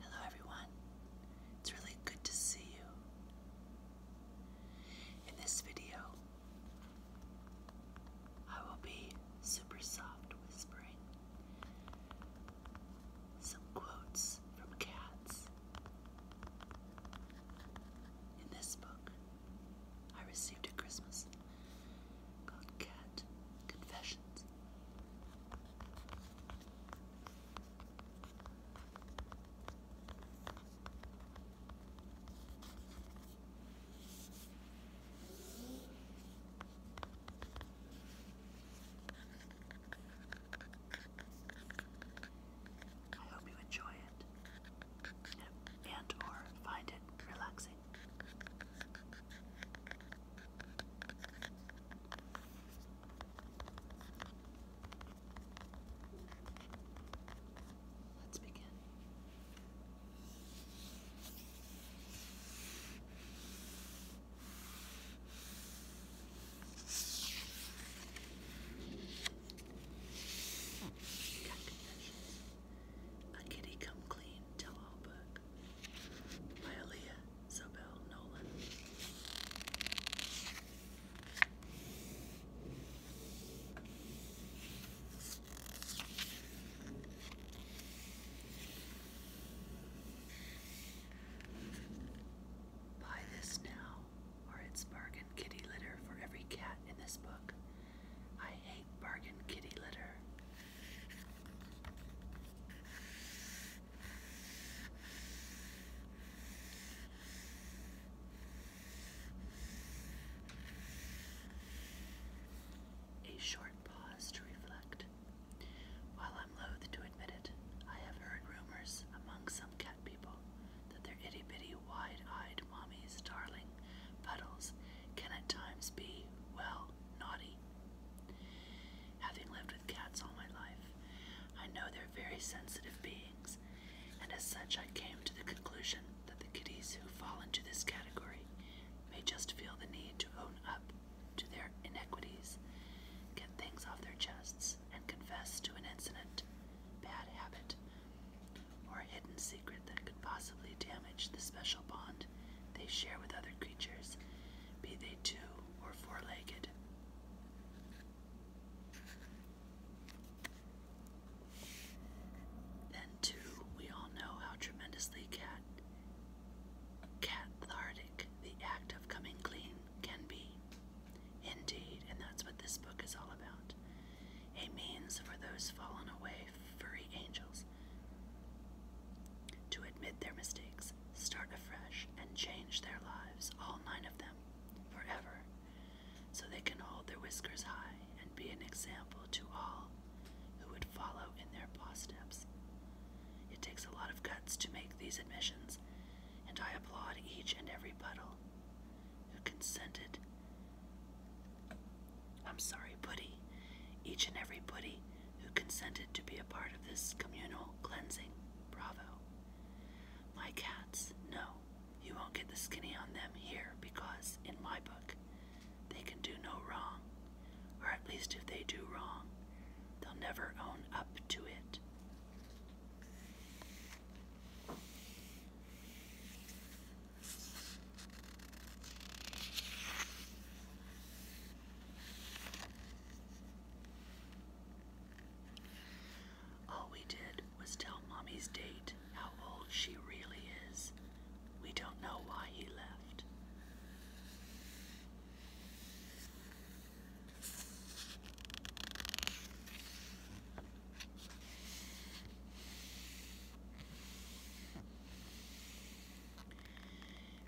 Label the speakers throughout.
Speaker 1: Hello, everyone. It's really good to see you. In this video, I will be super soft whispering some quotes from cats. In this book, I received at Christmas Confessions. I hope you enjoy it and or find it relaxing amazing. Let's begin. Got confessions. A Kitty Come Clean Tell All Book by Aaliyah Sobel Nolan. Buy this now, or it's bargain kitty litter for every cat in this book. I hate bargain kitty litter. A short pause to reflect. While I'm loath to admit it, I have heard rumors among some cat people that their itty bitty, wide eyed mommies, darling puddles, can at times be, well, naughty. Having lived with cats all my life, I know they're very sensitive beings, and as such, I came to the conclusion that the kitties who fall into this category may just feel the need to own up to their inequities, get things off their chests, and confess to an incident, bad habit, or hidden secret that could possibly damage the special bond they share with other creatures, be they two or four legged. Then, too, we all know how tremendously cat cathartic the act of coming clean can be. Indeed, and that's what this book is all about out, a means for those fallen away furry angels to admit their mistakes, start afresh, and change their lives, all nine of them, forever, so they can hold their whiskers high and be an example to all who would follow in their paw steps. It takes a lot of guts to make these admissions, and I applaud each and every puddle who consented I'm sorry, Buddy. each and every Buddy who consented to be a part of this communal cleansing. Bravo. My cats, no, you won't get the skinny on them here because, in my book, they can do no wrong, or at least if they do wrong, they'll never own up to it. All we did was tell Mommy's date how old she really is. We don't know why he left.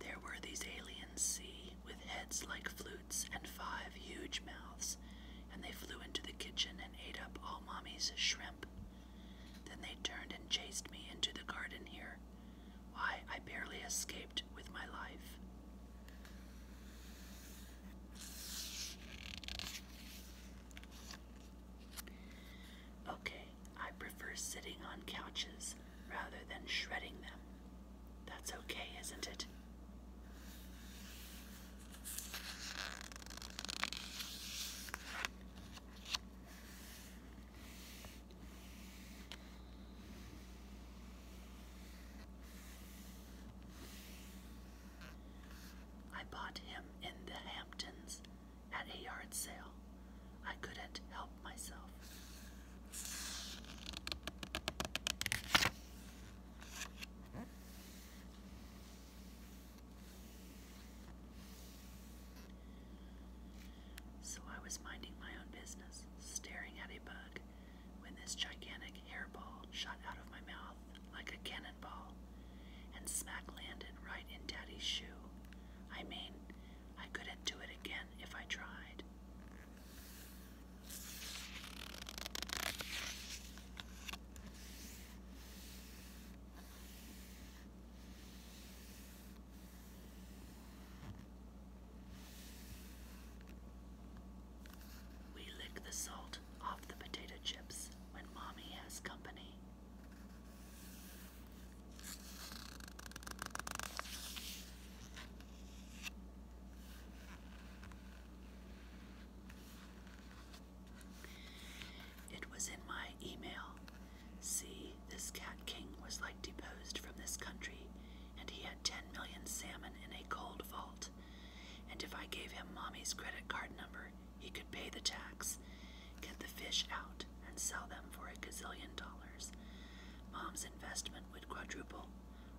Speaker 1: There were these aliens, see, with heads like flutes and five huge mouths, and they flew into the kitchen and ate up all Mommy's shrimp. Then they turned and chased me into the garden here. Why, I barely escaped with my life. Okay, I prefer sitting on couches rather than shredding them. That's okay, isn't it? I bought him in the Hamptons at a yard sale. I couldn't help myself. So I was minding my own business, staring at a bug, when this gigantic hairball shot out of my mouth like a cannon and smack landed right in Daddy's shoe. I mean, I couldn't do it again if I tried. We lick the salt off the potato chips when mommy has company. It was in my email. See, this cat king was like deposed from this country, and he had 10 million salmon in a gold vault. And if I gave him mommy's credit card number, he could pay the tax, get the fish out, and sell them for a gazillion dollars. Mom's investment would quadruple.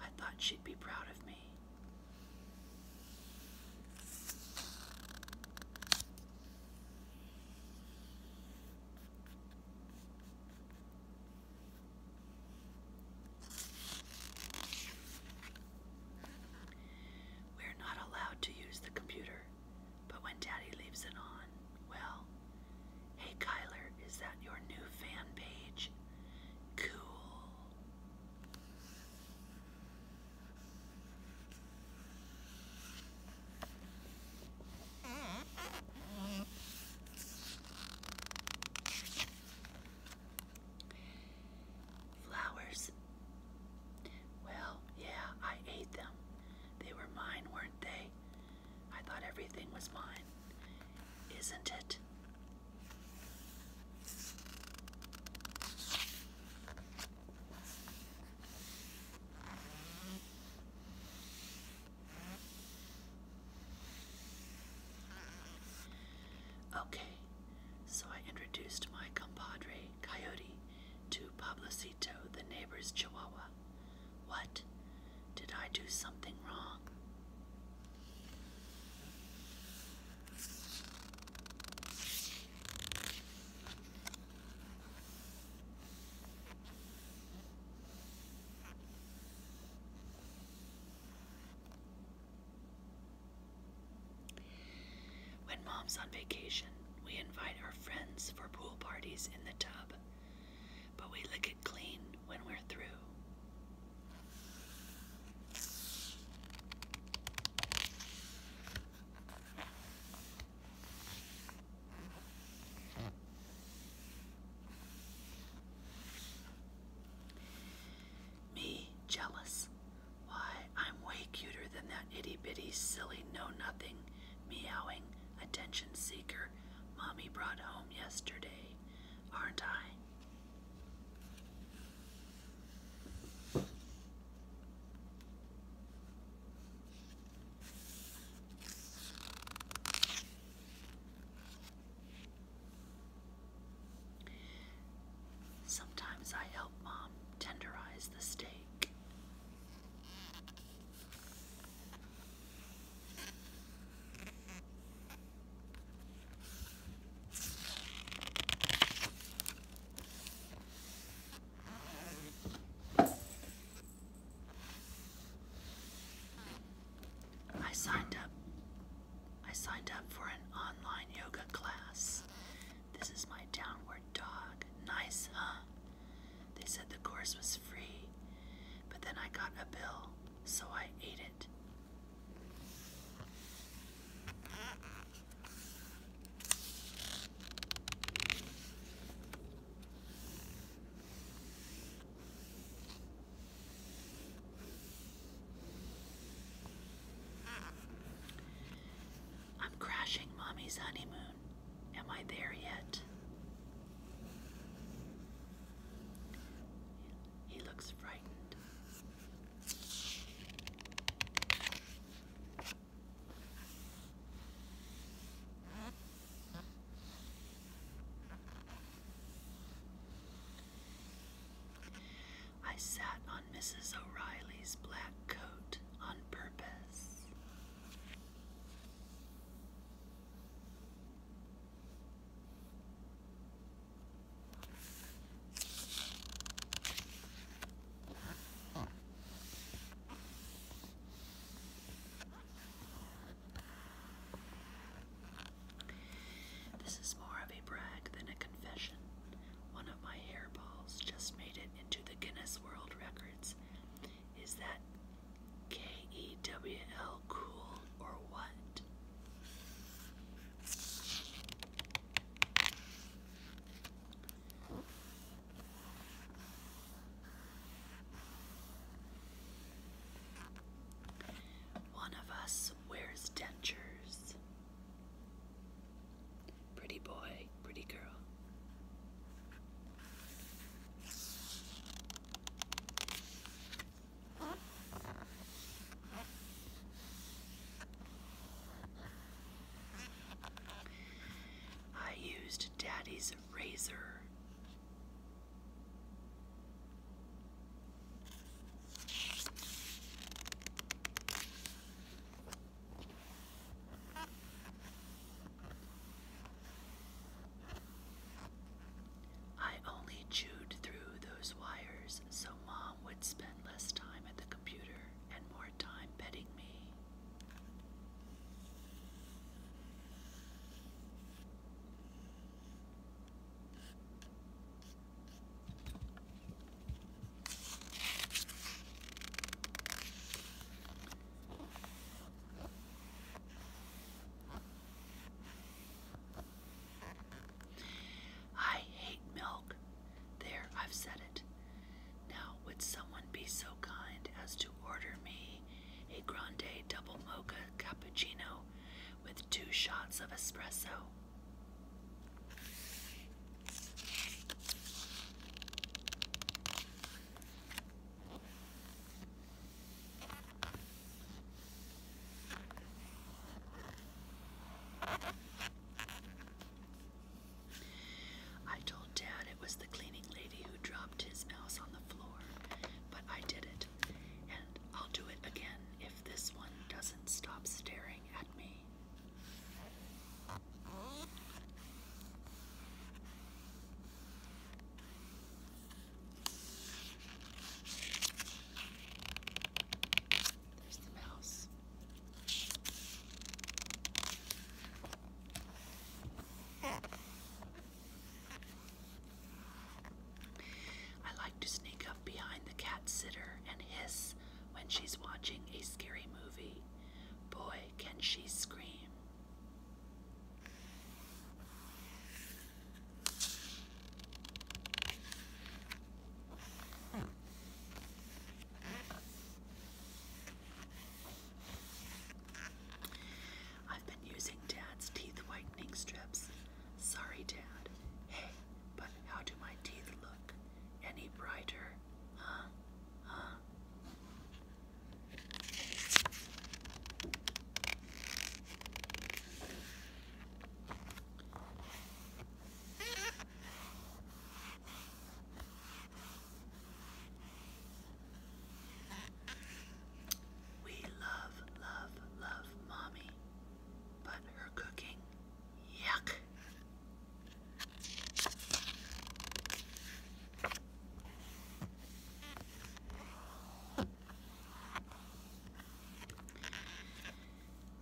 Speaker 1: I thought she'd be proud of me. We're not allowed to use the computer, but when Daddy leaves it on, well, hey Kyler, is that your new fan page? Cool. Flowers. Well, yeah, I ate them. They were mine, weren't they? I thought everything was mine. Isn't it? Okay, so I introduced my compadre, Coyote, to Poblecito, the neighbor's chihuahua. What? Did I do something wrong? When mom's on vacation, we invite our friends for pool parties in the tub, but we lick it clean when we're through. Me jealous. Why, I'm way cuter than that itty bitty, silly, know nothing, meowing, attention seeker Mommy brought home yesterday, aren't I? Sometimes I help Mom tenderize the steak. I signed up. I signed up for an online yoga class this is my downward dog. Nice, huh? They said the course was free, but then I got a bill, so I ate it. I'm crashing mommy's honeymoon. Am I there yet? He looks frightened. I sat on Mrs. O'Reilly's black coat on purpose. This is more of a brag than a confession, one of my hairballs just made it into the Guinness World Records. Is that K E W L cool or what? One of us wears dentures. Pretty boy, pretty girl. I used Daddy's razor. I only chewed through those wires so Mom would spend less time at the computer and more time petting me. I hate milk. There, I've said it. Now, would someone be so kind as to order me a grande double mocha cappuccino with two shots of espresso? I told Dad it was the cleaning lady who dropped his mouse on the floor, but I did it, and I'll do it again if this one doesn't stop staring at me. There's the mouse. I like to sneak up behind the cat sitter and hiss when she's watching a scary movie. Boy, can she scream. I've been using Dad's teeth whitening strips. Sorry, Dad. Hey, but how do my teeth look? Any brighter? We love, love, love mommy, but her cooking, yuck.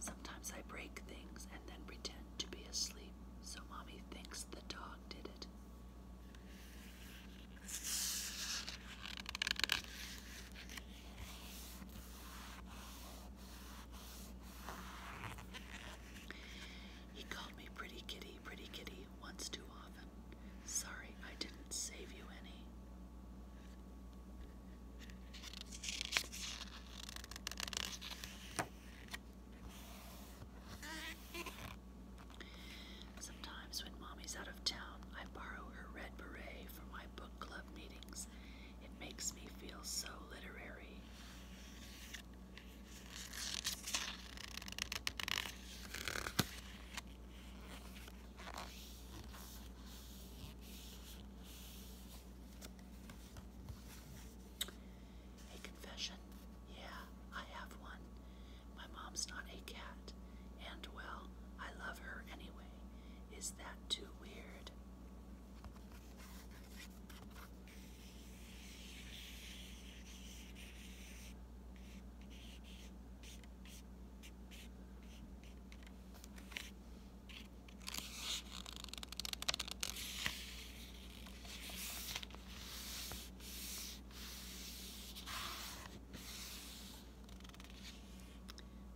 Speaker 1: Sometimes I break things and then pretend to be asleep so mommy thinks the dog did it. He called me pretty kitty, pretty kitty once too often. Sorry, I didn't save you any. Sometimes when mommy's out of town, I borrow her red beret for my book club meetings. It makes me feel so literary. A confession? Yeah, I have one. My mom's not a cat, and well, I love her anyway. Is that too weird?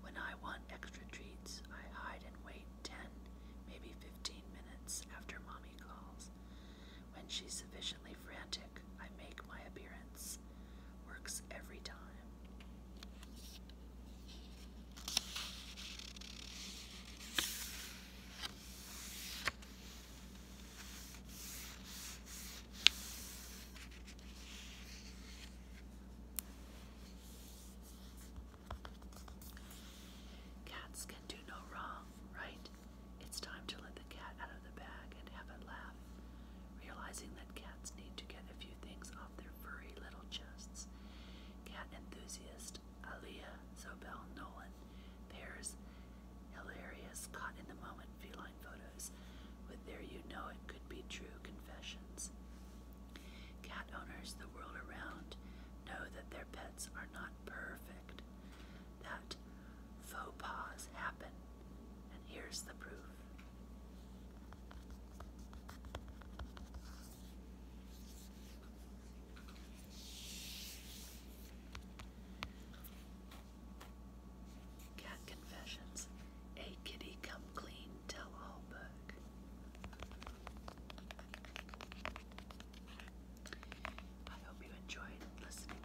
Speaker 1: When I want extra treats, I hide and wait 10, maybe 15 minutes after mommy calls. When she's sufficiently frantic, I make my appearance. Works every time. Cats can do no wrong, right? It's time to let the cat out of the bag and have a laugh. Realizing that cats need to get a few things off their furry little chests, cat enthusiast Aliyah Zobel Nolan pairs hilarious, caught in the moment feline photos with their you know it could be true confessions. Cat owners the world around know that their pets are not perfect, that faux pas happened, And here's the proof. Cat Confessions, a kitty come clean tell all book. I hope you enjoyed listening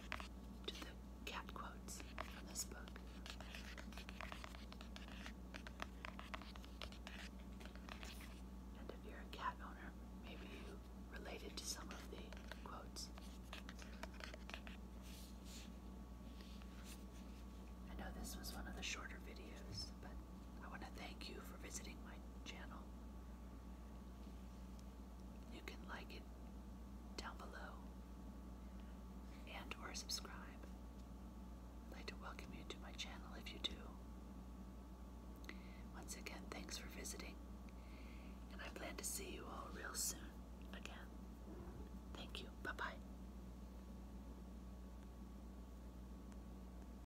Speaker 1: to the cat quotes from this book. And if you're a cat owner, maybe you related to some of the quotes. I know this was one of the shorter videos, but I want to thank you for visiting my channel. You can like it down below and or subscribe. I'd like to welcome you to my channel if you do. Once again, thanks for visiting, and I plan to see you all real soon again. Thank you. Bye-bye.